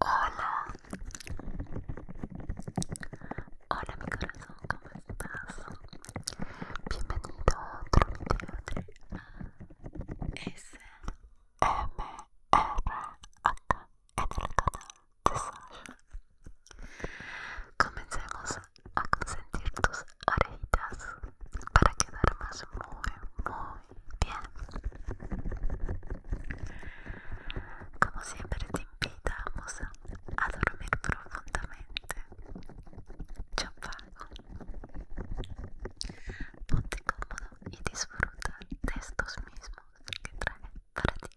Hola. Hola mi corazón, ¿cómo estás? Bienvenido a otro video de ASMR acá en el canal de Sasha. Comencemos a s e n t i r tus orejitas para que d a r m á s muy, muy, Bien, Como siempre te invitamos a dormir profundamente. Champago. Ponte cómodo y disfruta de estos mismos que traen para ti.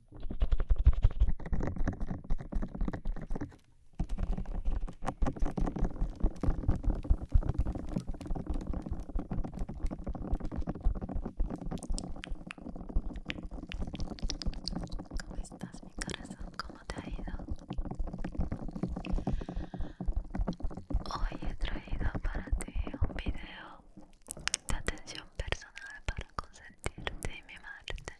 ¿Cómo estás, mi corazón? ¿Cómo te ha ido? Hoy he traído para ti un video de atención personal para consentirte mi mimarte.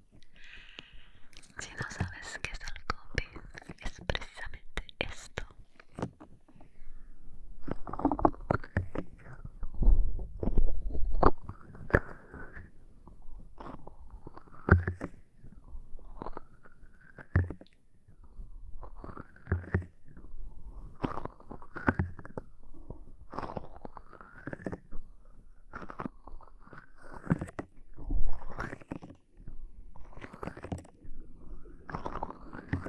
Si no sabes qué es el copy, es precisamente esto. En ciertos momentos el coping me recuerdo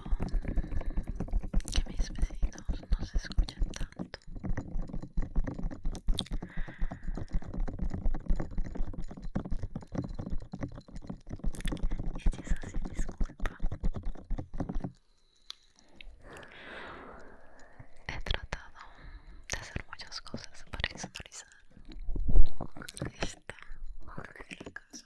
que mis vecinos no se escuchen tanto y eso sí disculpa he tratado de hacer muchas cosas para expresar esta horrible casa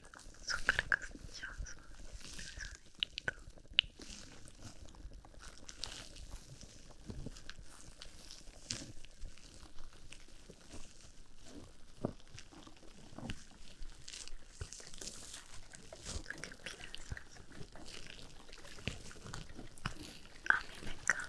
súper castilloso ¿Qué piensas? A mí me encanta.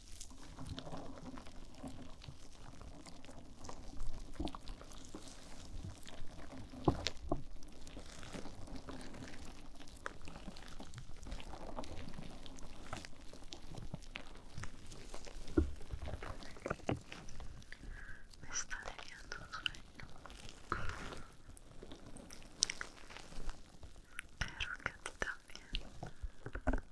Me está teniendo sueño. Pero que a ti también.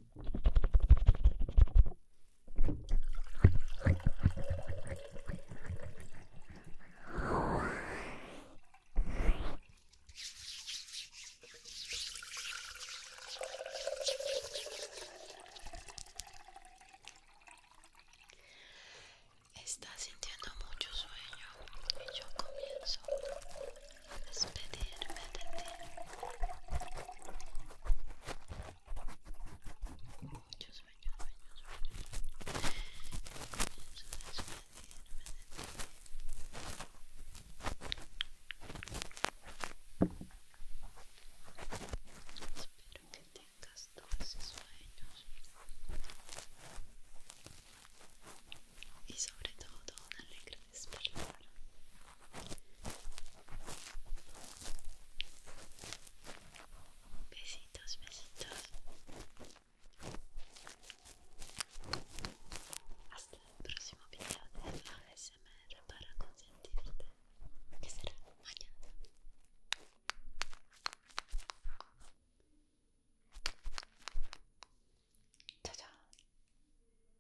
Está sintiendo mucho sueño y yo comienzo despedirme de ti. Muchos sueños, sueños, Espero que tengas dulces sueños y sobre todo una alegre despertar Besitos, besitos. Hasta el próximo video de ASMR para consentirte, que será mañana. ¡Chao, chao!